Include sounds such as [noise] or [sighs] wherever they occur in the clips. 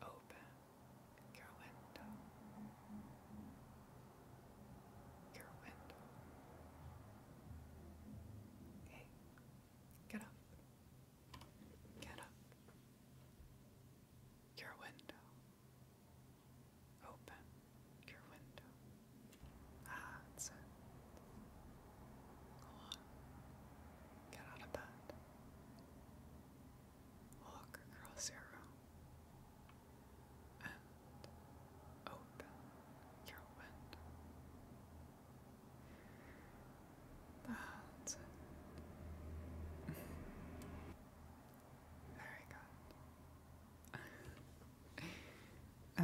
Open your window. Your window. Hey, get up. Get up. Your window. Open your window. Ah, that's it. Go on. Get out of bed walk across your and open your window. That's Very good.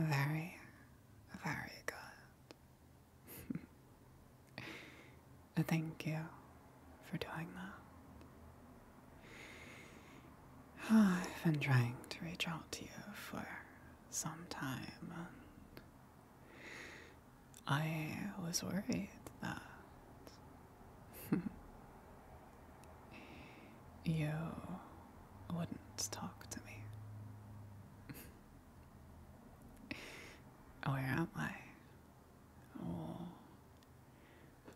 very, very good. [laughs] Thank you for doing that. [sighs] I've been trying to reach out to you for some time, and I was worried that [laughs] you wouldn't talk to me. [laughs] Where am I? Oh,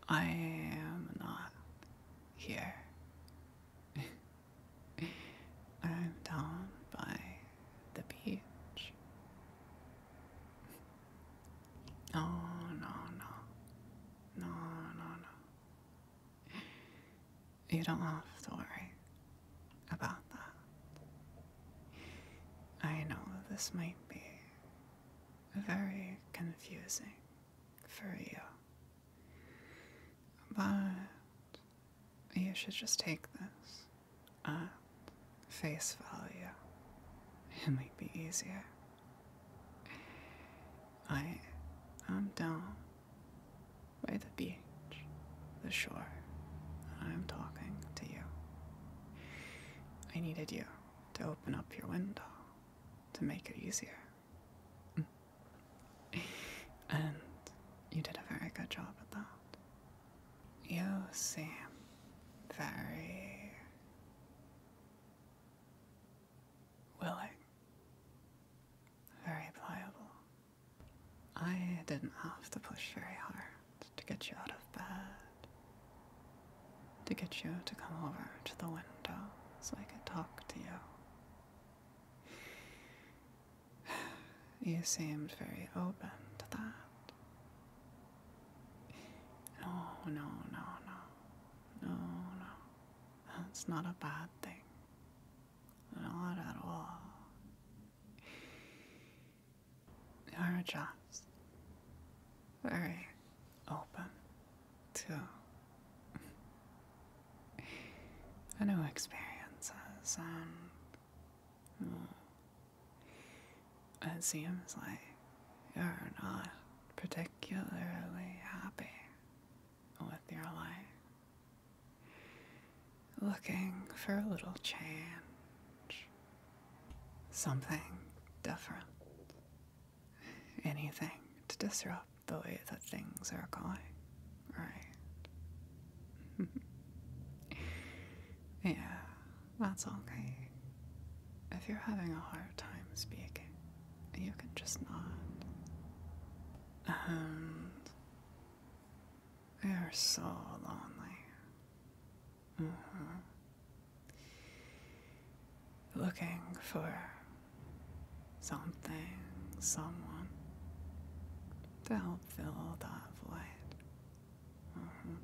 I am not here. [laughs] I'm down by the beach. no, no. No, no, no. You don't have to worry about that. I know this might be very confusing for you, but you should just take this at face value. It might be easier. I am down by the beach, the shore. I'm talking to you. I needed you to open up your window to make it easier. Mm. And you did a very good job at that. You seem very willing, very pliable. I didn't have to push very hard to get you out of bed, to get you to come over to the window so I could talk to you. [sighs] You seemed very open to that. No, no, no, no. No, no. That's not a bad thing. Not at all. Our jobs very open to new experiences and well, hmm, it seems like you're not particularly happy with your life. Looking for a little change something different. Anything to disrupt the way that things are going, right? [laughs] yeah, that's okay. If you're having a hard time speaking, you can just nod. And we are so lonely. Mm-hmm. Looking for something, someone to help fill that void. Mm-hmm.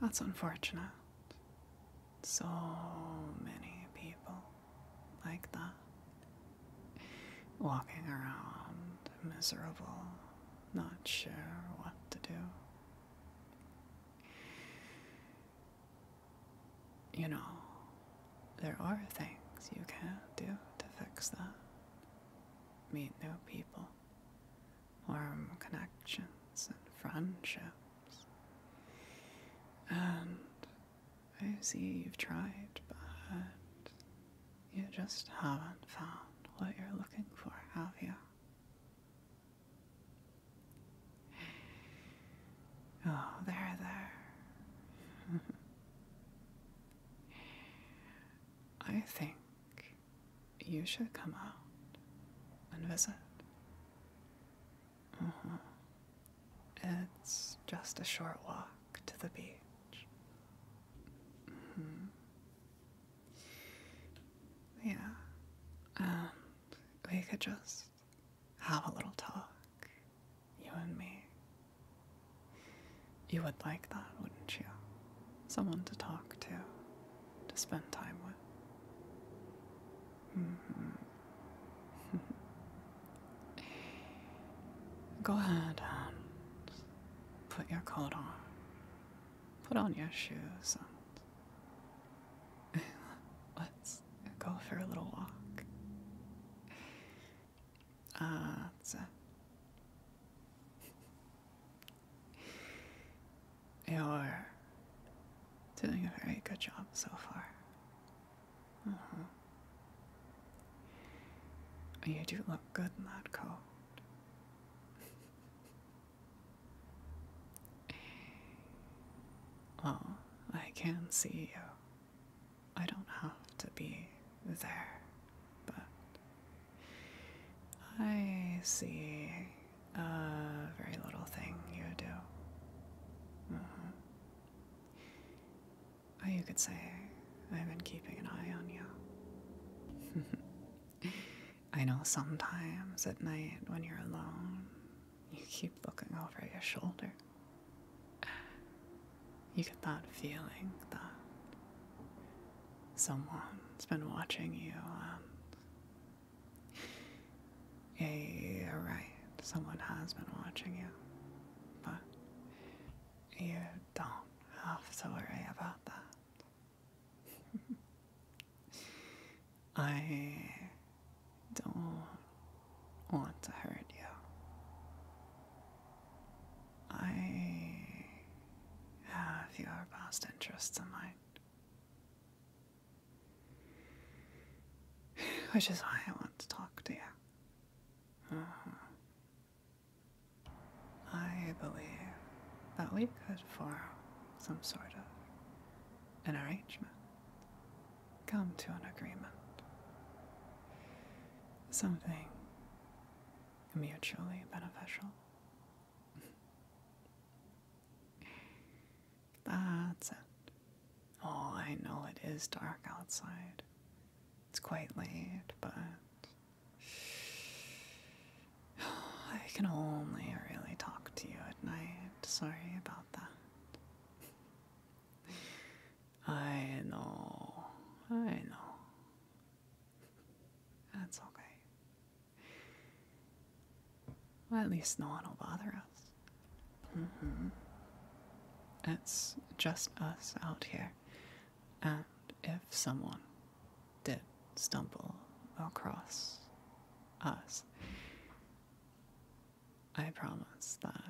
That's unfortunate. So many people like that. Walking around, miserable, not sure what to do. You know, there are things you can do to fix that. Meet new people, warm connections and friendships. And I see you've tried, but you just haven't found what you're looking for, have you? Oh, there, there. [laughs] I think you should come out and visit. Mm-hmm. It's just a short walk to the beach. mm Yeah. Um, we could just have a little talk, you and me. You would like that, wouldn't you? Someone to talk to, to spend time with. Mm-hmm. [laughs] Go ahead and Put your coat on. Put on your shoes and [laughs] let's go for a little walk. Uh, [laughs] You're doing a very good job so far. Uh-huh. Oh, you do look good in that coat. Oh, I can see you. I don't have to be there, but I see a very little thing you do. Mm-hmm. Or oh, you could say, I've been keeping an eye on you. [laughs] I know sometimes at night when you're alone, you keep looking over your shoulder. You get that feeling that someone's been watching you Yeah, you're right, someone has been watching you. But you don't i have to worry about that. [laughs] I don't want to hurt you. I have your best interests in mind, [sighs] which is why I want to talk to you. Mm-hmm. I believe that we could form some sort of an arrangement, come to an agreement, something mutually beneficial. [laughs] That's it. Oh, I know it is dark outside. It's quite late, but I can only really talk to you at night. Sorry about that. I know. I know. That's okay. Well, at least no one will bother us. Mm-hmm. It's just us out here. And if someone did stumble across us, I promise that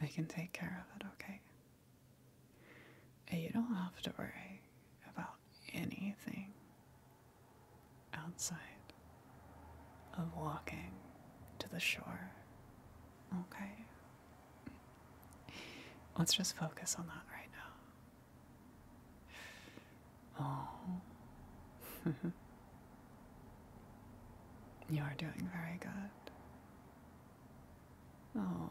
I can take care of it, okay? You don't have to worry about anything outside of walking to the shore, okay? Let's just focus on that right now. Oh. [laughs] you are doing very good. Oh.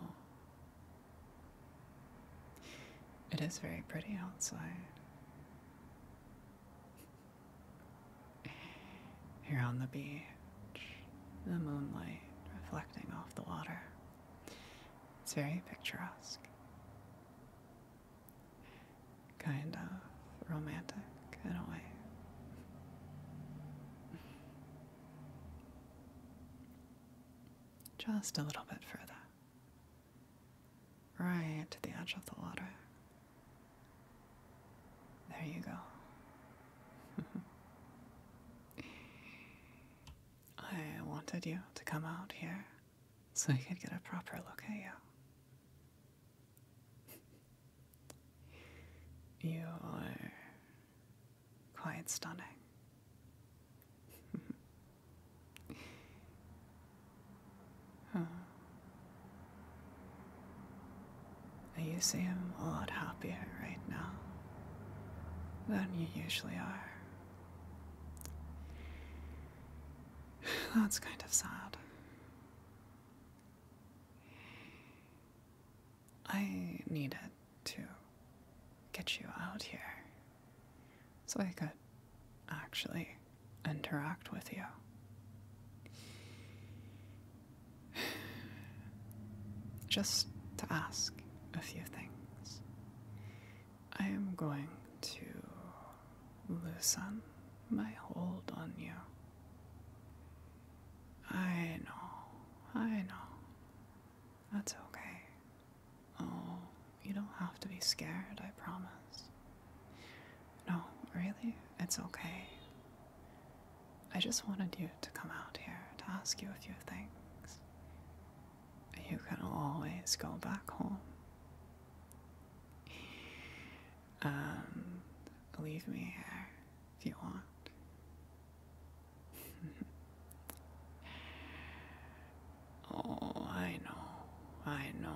It is very pretty outside. Here on the beach the moonlight reflecting off the water. It's very picturesque, kind of romantic in a way. Just a little bit further, right to the edge of the water. There you go. [laughs] I wanted you to come out here so I could get a proper look at you. [laughs] you are quite stunning. [laughs] you seem a lot happier right now than you usually are. [sighs] That's kind of sad. I needed to get you out here so I could actually interact with you. [sighs] just to ask a few things. I am going to loosen my hold on you. I know, I know. That's okay. Oh, you don't have to be scared, I promise. No, really, it's okay. I just wanted you to come out here to ask you a few things. You can always go back home and um, leave me here if you want. [laughs] oh, I know, I know.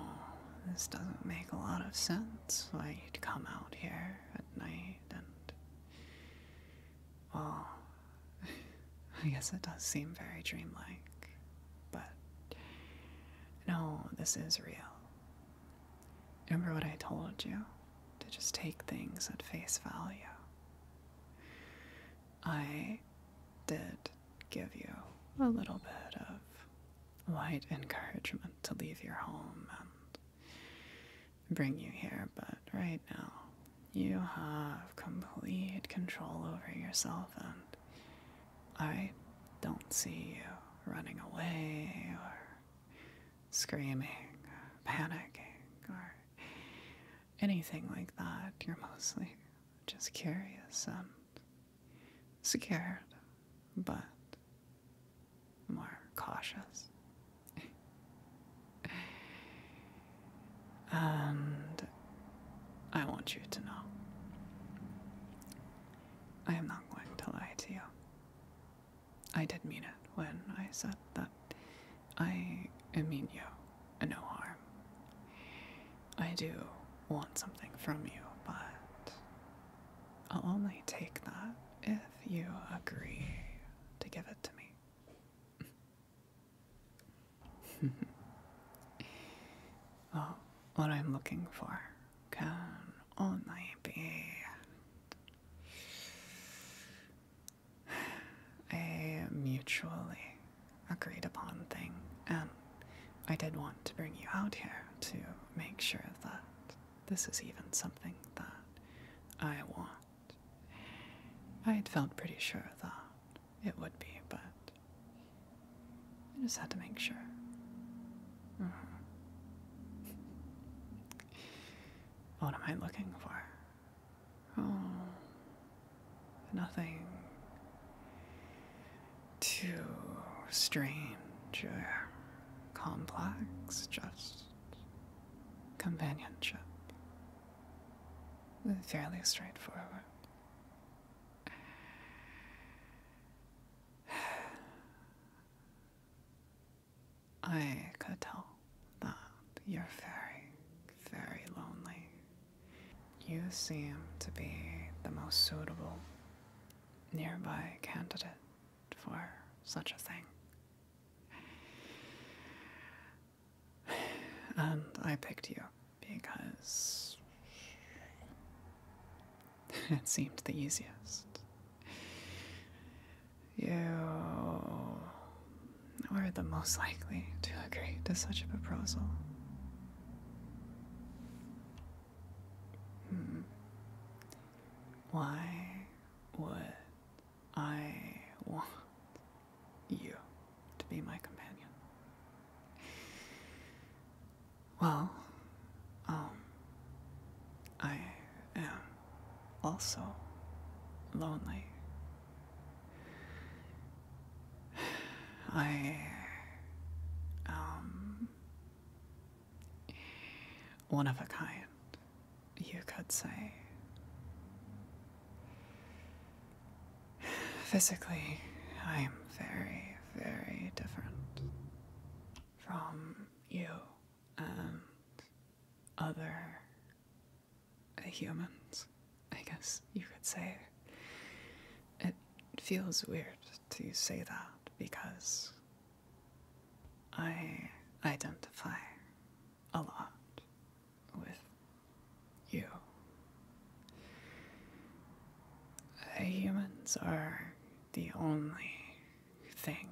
This doesn't make a lot of sense why you'd come out here at night and Oh, [laughs] I guess it does seem very dreamlike, but no, this is real. Remember what I told you? To just take things at face value. I did give you a little bit of light encouragement to leave your home and bring you here, but right now, you have complete control over yourself, and I don't see you running away or screaming, or panicking, or anything like that. You're mostly just curious and scared, but more cautious. [laughs] and I want you to know I am not going to lie to you. I did mean it when I said that I mean you no harm. I do want something from you, but I'll only take that if you agree to give it to me. [laughs] what I'm looking for can only be a mutually agreed upon thing, and I did want to bring you out here to make sure that this is even something that I want I had felt pretty sure that it would be, but I just had to make sure. Mm-hmm. What am I looking for? Oh, nothing too strange or complex, just companionship. Fairly straightforward. [sighs] I could tell that you're very, very lonely. You seem to be the most suitable nearby candidate for such a thing. And I picked you because [laughs] it seemed the easiest. You were the most likely to agree to such a proposal. Hmm. Why would I want you to be my companion. Well, um, I am also lonely. I, um, one of a kind you could say. Physically, I'm very, very different from you and other humans, I guess you could say. It feels weird to say that because I identify a lot with you. humans are the only thing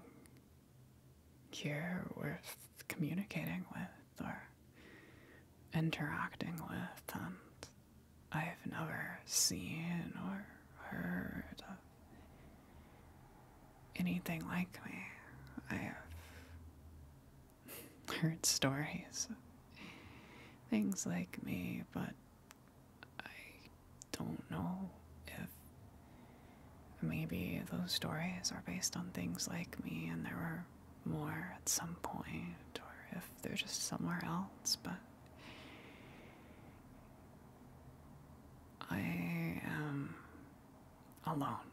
here worth communicating with or interacting with, and I've never seen or heard of anything like me. I have [laughs] heard stories of things like me, but I don't know if maybe those stories are based on things like me and there were more at some point, or if they're just somewhere else, but I am alone.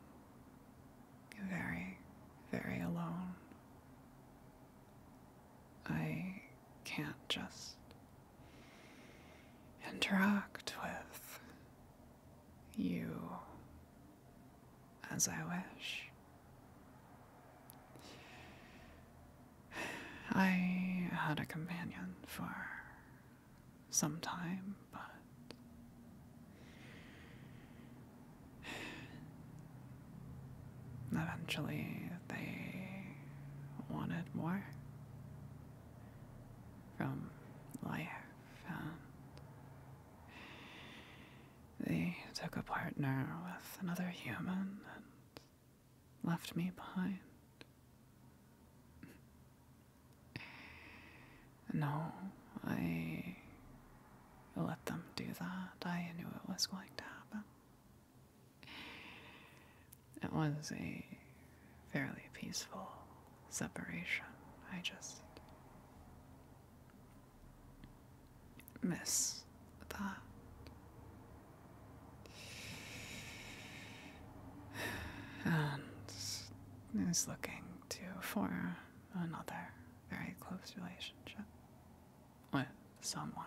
You're very, very alone. I can't just interact with you as I wish. I had a companion for sometime, but eventually they wanted more from life, they took a partner with another human and left me behind. No, I let them do that. I knew it was going to happen. It was a fairly peaceful separation. I just miss that. [sighs] And is looking to form another very close relationship with someone.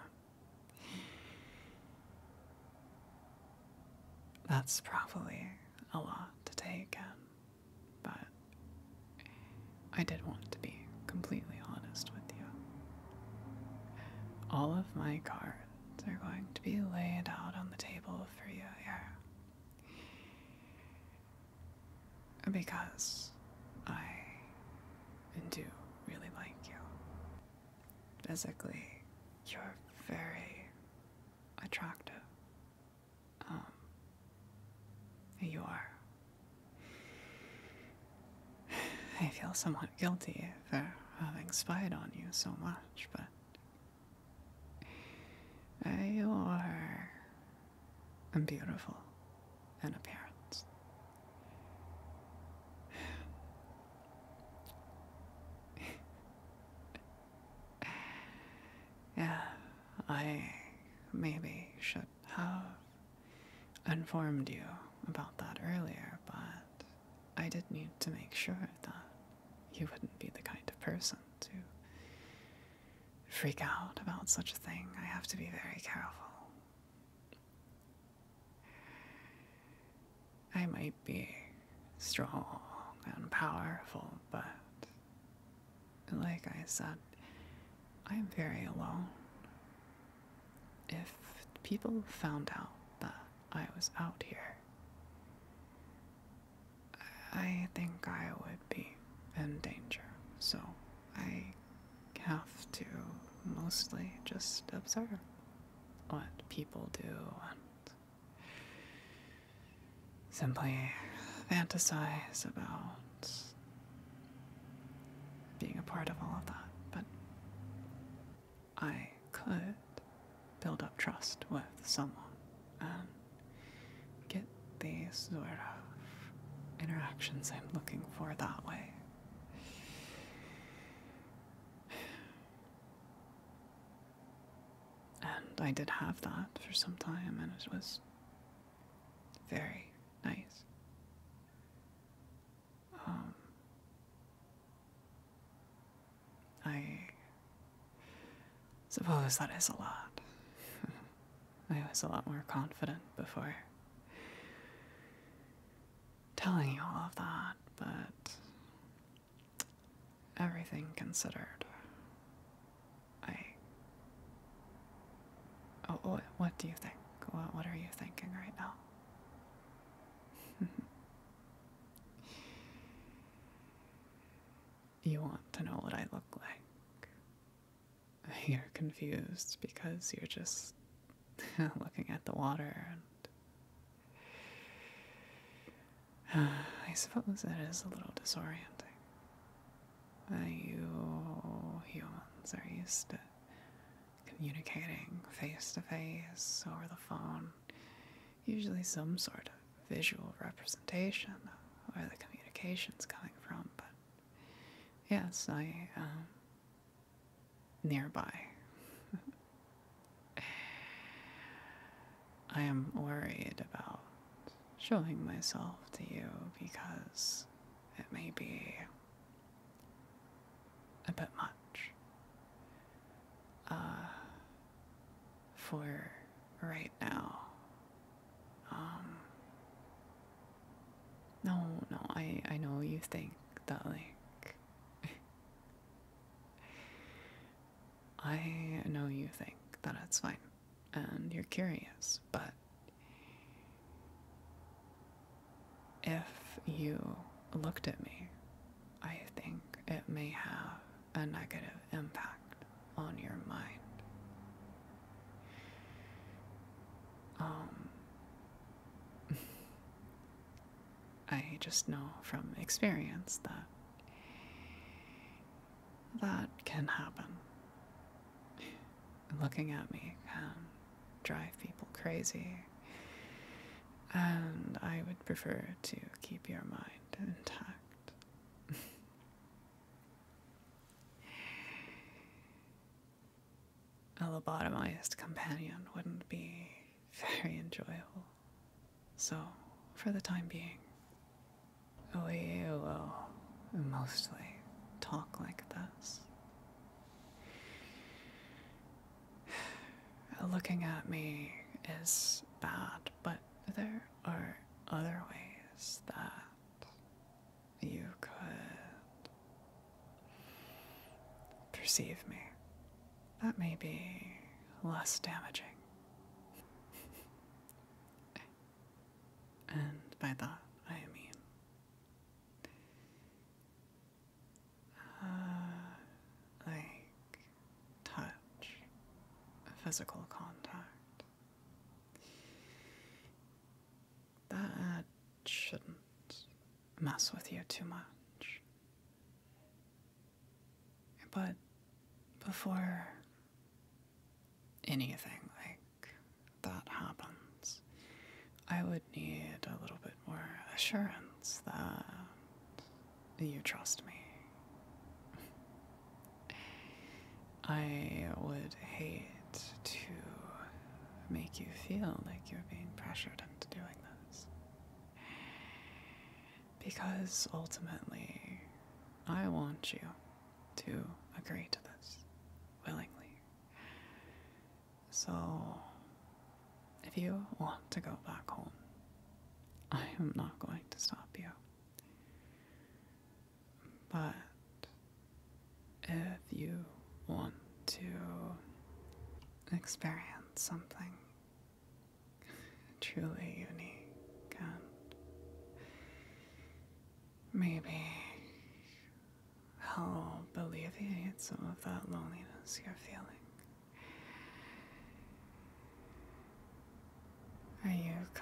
That's probably a lot to take in, but I did want to be completely honest with you. All of my cards are going to be laid out on the table for you here. Because I do really like you. Physically, you're very attractive. Um, you are. [sighs] I feel somewhat guilty for having spied on you so much, but you are beautiful in appearance. [sighs] yeah, I maybe should have informed you about that earlier, but I did need to make sure that you wouldn't be the kind of person to freak out about such a thing. I have to be very careful. I might be strong and powerful, but like I said, I'm very alone. If people found out that I was out here, I think I would be in danger, so I have to mostly just observe what people do and simply fantasize about being a part of all of that. But I could build up trust with someone, and get these sort of interactions I'm looking for that way. And I did have that for some time, and it was very nice. Um, I suppose that is a lot. [laughs] I was a lot more confident before telling you all of that, but everything considered, I. Oh, oh what, do you think? what are you thinking right now? [laughs] You want to know what I look like. You're confused because you're just [laughs] looking at the water and. [sighs] I suppose that is a little disorienting. Uh, you humans are used to communicating face to face over the phone usually some sort of visual representation of where the communication's coming from, but yes, I am um, nearby. [laughs] I am worried about showing myself to you because it may be a bit much. Uh, for right now. Um, no, no, I, I know you think that, like, [laughs] I know you think that it's fine and you're curious, but if you looked at me I think it may have a negative impact on your mind. Um, [laughs] I just know from experience that that can happen. Looking at me can drive people crazy, and I would prefer to keep your mind intact. [laughs] A lobotomized companion wouldn't be very enjoyable. So, for the time being, we will mostly talk like this. [sighs] Looking at me is bad but there are other ways that you could perceive me. That may be less damaging. and by that, I mean. Uh, like touch, physical contact. That shouldn't mess with you too much. But before anything like that happens, I would need a little bit more assurance that you trust me. I would hate to make you feel like you're being pressured into doing this. Because ultimately, I want you to agree to this willingly. So, if you want to go back home, I am not going to stop you. But if you want to experience something truly unique and maybe help alleviate some of that loneliness you're feeling,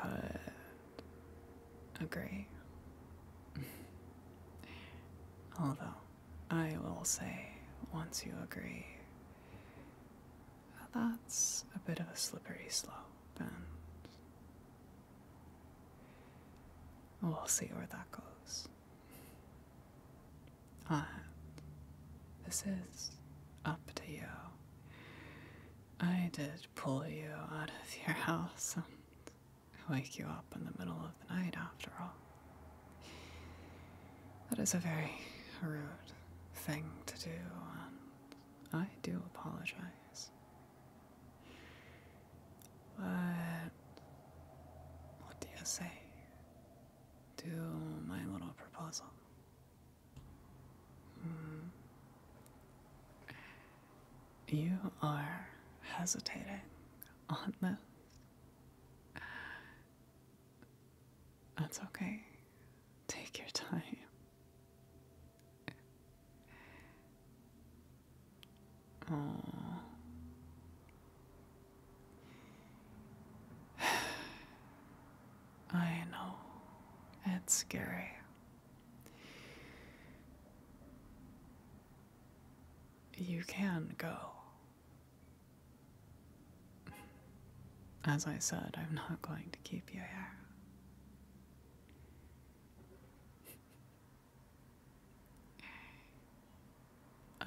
I could agree. [laughs] Although, I will say, once you agree, that's a bit of a slippery slope, and we'll see where that goes. Uh, this is up to you. I did pull you out of your house and wake you up in the middle of the night, after all. That is a very rude thing to do, and I do apologize. But what do you say to my little proposal? You are hesitating on this. That's okay. Take your time. Oh, [sighs] I know. It's scary. You can go. As I said, I'm not going to keep you here.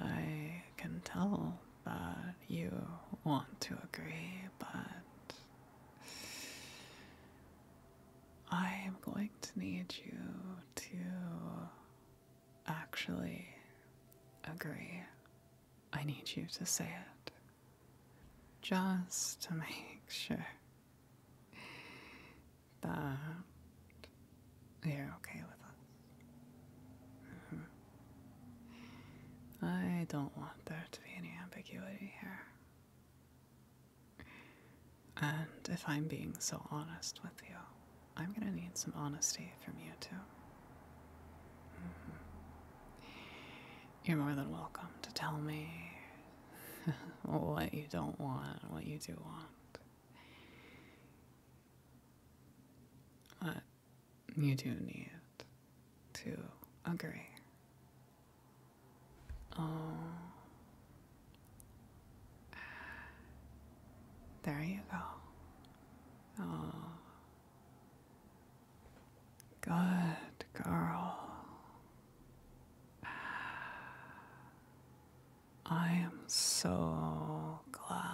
[sighs] I can tell that you want to agree, but I am going to need you to actually agree. I need you to say it. Just to make [laughs] sure that you're okay with it. Mm-hmm. I don't want there to be any ambiguity here. And if I'm being so honest with you, I'm gonna need some honesty from you too. Mm-hmm. You're more than welcome to tell me [laughs] what you don't want, what you do want. You do need to agree. Oh. There you go. Oh. Good girl. I am so glad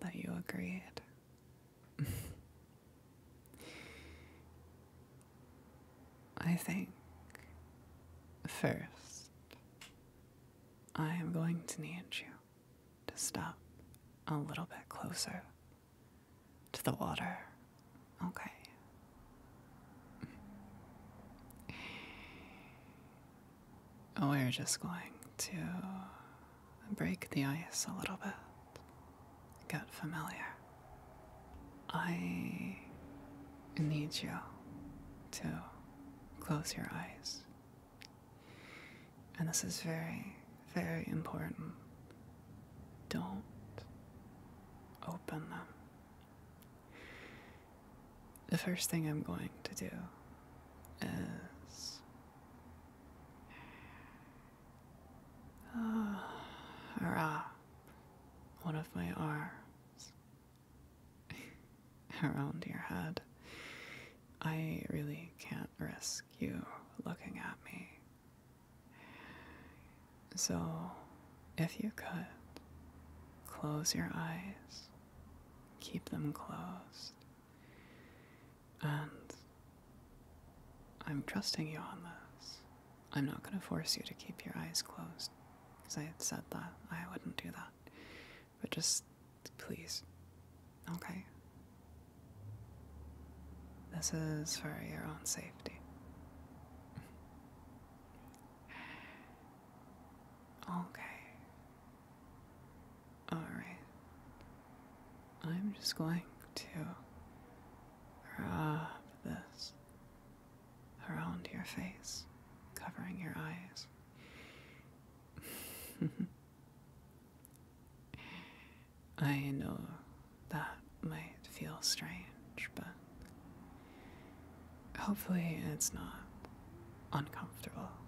that you agreed. [sighs] I think first I am going to need you to stop a little bit closer to the water. Okay. We're just going to and break the ice a little bit. Get familiar. I need you to close your eyes. And this is very, very important. Don't open them. The first thing I'm going to do is uh, [sighs] or one of my arms [laughs] around your head. I really can't risk you looking at me. So, if you could, close your eyes, keep them closed, and I'm trusting you on this. I'm not going to force you to keep your eyes closed because I said that I wouldn't do that. But just please, okay? This is for your own safety. [sighs] Okay. Alright. I'm just going to wrap this around your face, covering your eyes. [laughs] I know that might feel strange, but hopefully it's not uncomfortable. [laughs]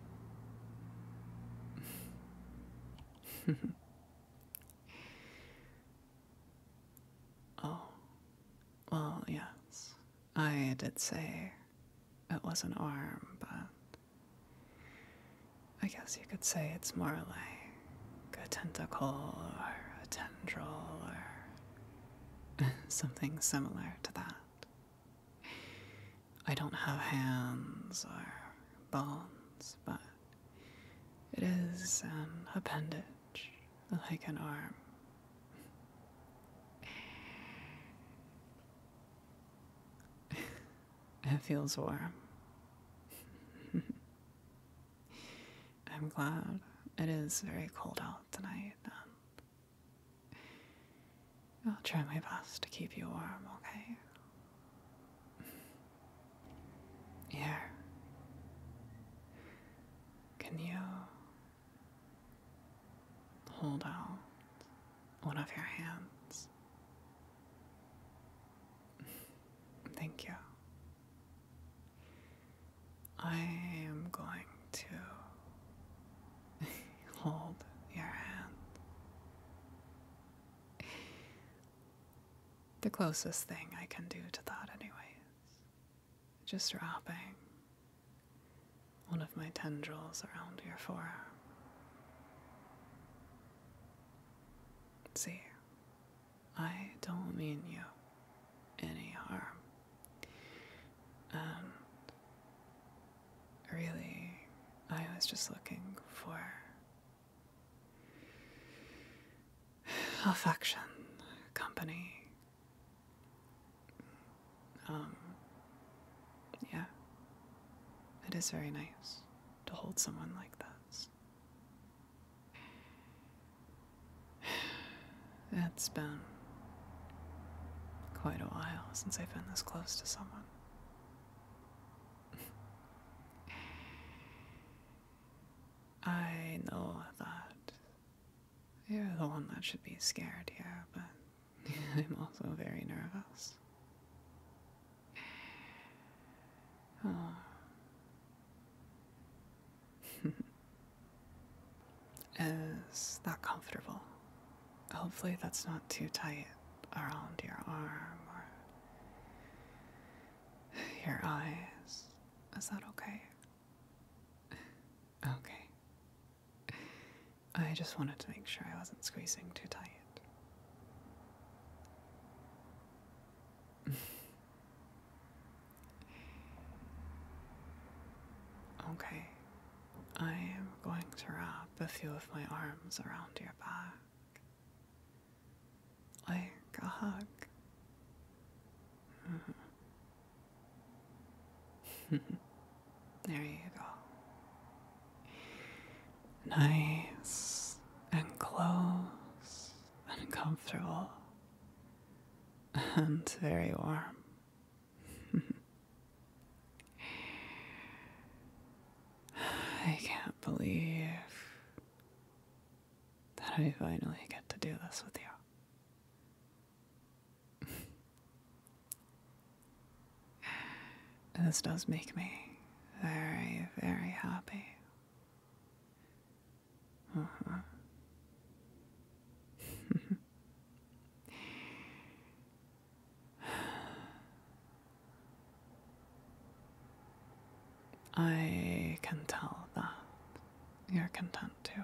[laughs] oh, well, yes. I did say it was an arm, but I guess you could say it's more like a tentacle or a tendril or [laughs] something similar to that. I don't have hands or bones, but it is an appendage like an arm. [laughs] It feels warm. [laughs] I'm glad. It is very cold out tonight. I'll try my best to keep you warm, okay? Here. Can you hold out one of your hands? Thank you. I am going to [laughs] hold your hand the closest thing I can do to that, is Just wrapping one of my tendrils around your forearm. See, I don't mean you any harm. Really, I was just looking for affection, company. Um, yeah. It is very nice to hold someone like this. It's been quite a while since I've been this close to someone. I know that you're the one that should be scared here, but [laughs] I'm also very nervous. [sighs] Is that comfortable? Hopefully, that's not too tight around your arm or your eyes. Is that okay? Okay. I just wanted to make sure I wasn't squeezing too tight. okay. I am going to wrap a few of my arms around your back like a hug. there you go. Nice and close and comfortable and very warm. [laughs] I can't believe that I finally get to do this with you. this does make me very, very happy. Uh-huh. [laughs] I can tell that you're content too.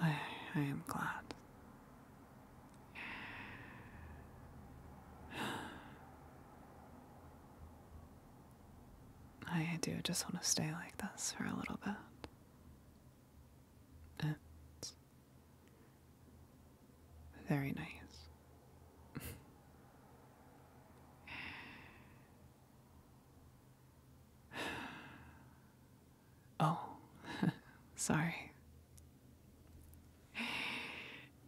I, I am glad. I do just want to stay like this for a little bit. It's very nice. [sighs] oh, [laughs] sorry.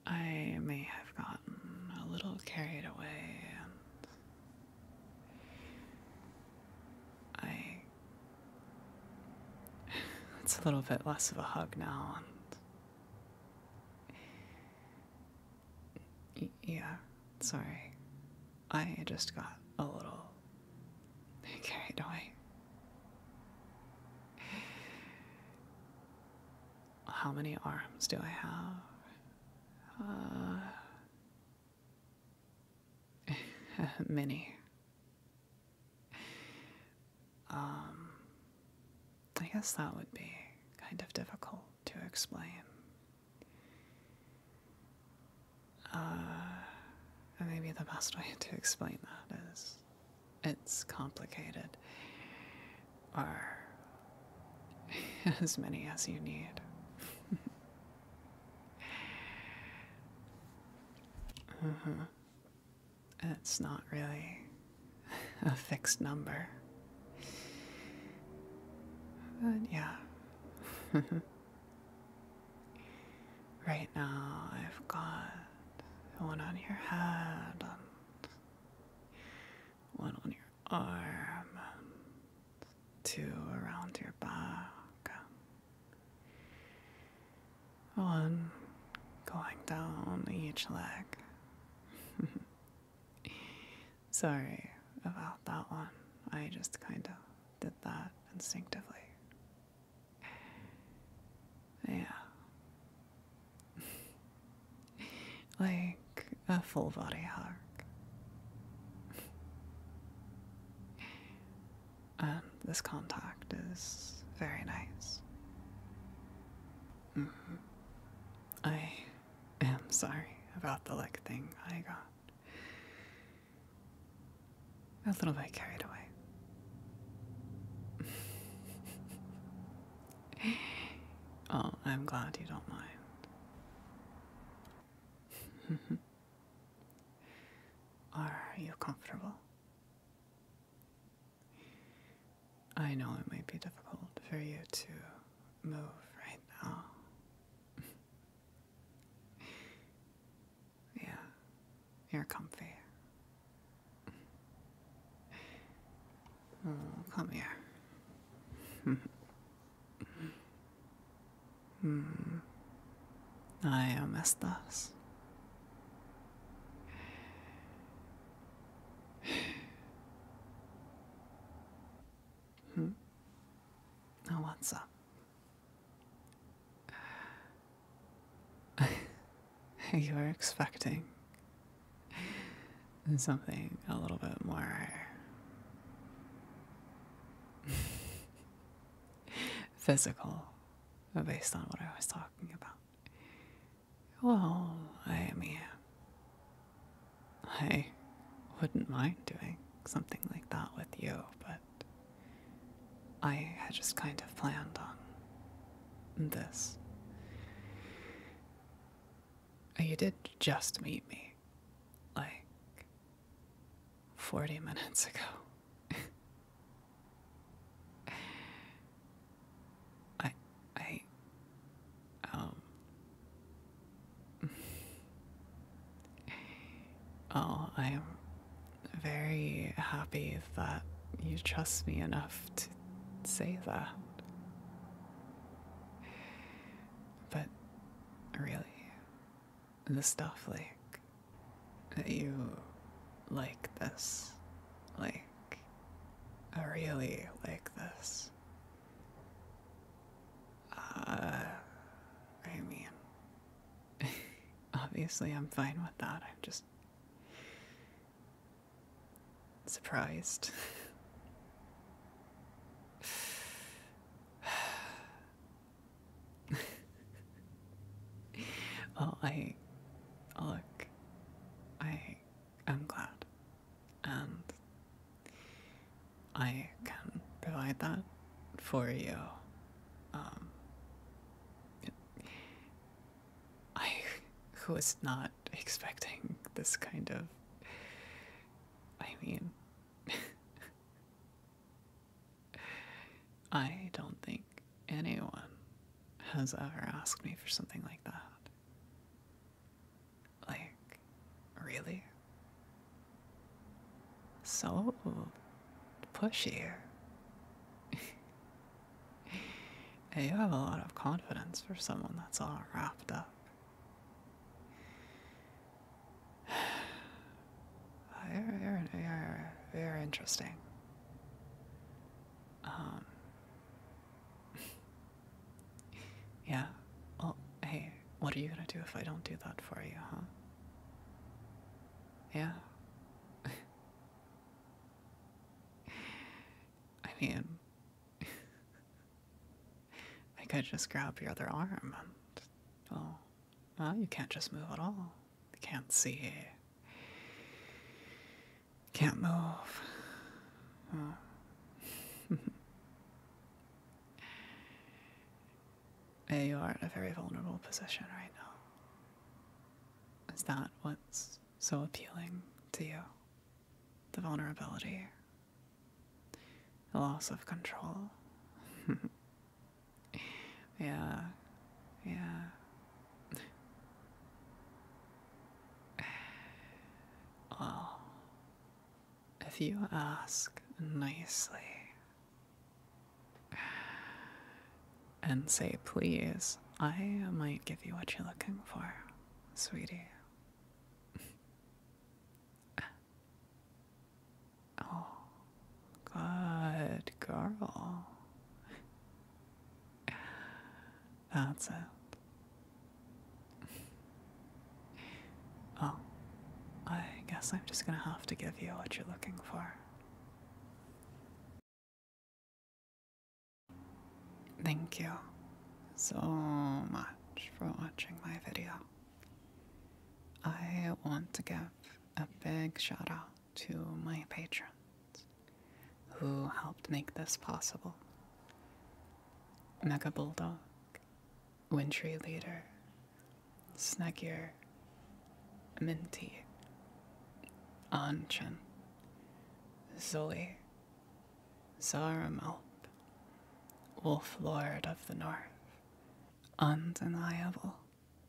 I may have gotten a little carried away and I it's a little bit less of a hug now. And... Yeah, sorry. I just got a little [laughs] carried away. How many arms do I have? Uh, [laughs] many. Um, I guess that would be kind of difficult to explain. Uh, maybe the best way [laughs] to explain that is it's complicated, or [laughs] as many as you need. [laughs] uh-huh. It's not really [laughs] a fixed number. But yeah. [laughs] right now, I've got one on your head one on your arm two around your back. One going down each leg. [laughs] Sorry about that one. I just kind of did that instinctively. Yeah. [laughs] like a full body hug. Um, this contact is very nice. Mm-hmm. I am sorry about the leg thing I got. A little bit carried away. [laughs] oh, I'm glad you don't mind. Are [laughs] you comfortable? I know it might be difficult for you to move right now. [laughs] yeah, you're comfy. Mm, come here. [laughs] hmm. I am Estas. Hmm. Now what's [laughs] up? you were expecting something a little bit more [laughs] physical based on what I was talking about. Well, I mean, I wouldn't mind doing something like that with you, but I had just kind of planned on this. You did just meet me, like, 40 minutes ago. I, I, um, [laughs] oh, I am very happy that you trust me enough to say that. But really, the stuff like that you like this. Like, I really like this. Uh, I mean, [laughs] obviously I'm fine with that. I'm just surprised. [sighs] [sighs] [sighs] [laughs] well, I look, I am glad, and I can provide that for you. Um, I was not expecting this kind of. I mean, [laughs] I don't think anyone has ever asked me for something like that. Like, really? So pushy. [laughs] you have a lot of confidence for someone that's all wrapped up. [sighs] [sighs] they're, they interesting. Um, [laughs] yeah. Well, hey, what are you gonna do if I don't do that for you, huh? Yeah. [laughs] I mean, [laughs] I could just grab your other arm and, oh, well, you can't just move at all. Can't see it. Can't move. [laughs] you are in a very vulnerable position right now. Is that what's so appealing to you? The vulnerability, the loss of control. [laughs] Yeah. Yeah. Well, if you ask nicely and say please, I might give you what you're looking for, sweetie. Oh, good girl. That's it. Oh, I guess I'm just gonna have to give you what you're looking for. Thank you so much for watching my video. I want to give a big shout out to my patrons who helped make this possible Mega Bulldog, Wintry Leader, Snuggier, Minty, Anchen, Zoe, Zaramelp, Wolf Lord of the North, Undeniable.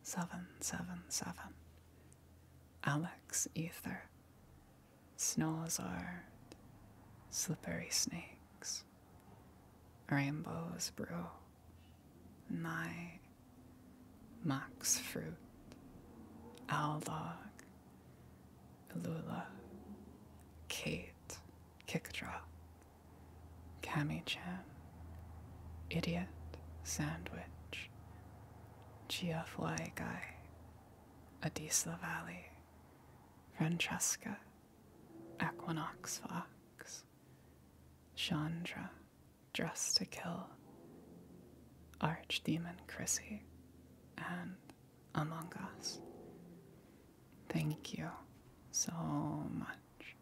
777. Alex Ether. Snowzard. Slippery Snakes. Rainbow's Brew. My. Max Fruit. Owl Dog. Lula, Kate, Kickdrop, Cammy Chan, Idiot Sandwich, Chiafuai Guy, Adisla Valley, Francesca, Equinox Fox, Chandra, Dressed to Kill, Archdemon Chrissy, and Among Us. Thank you so much.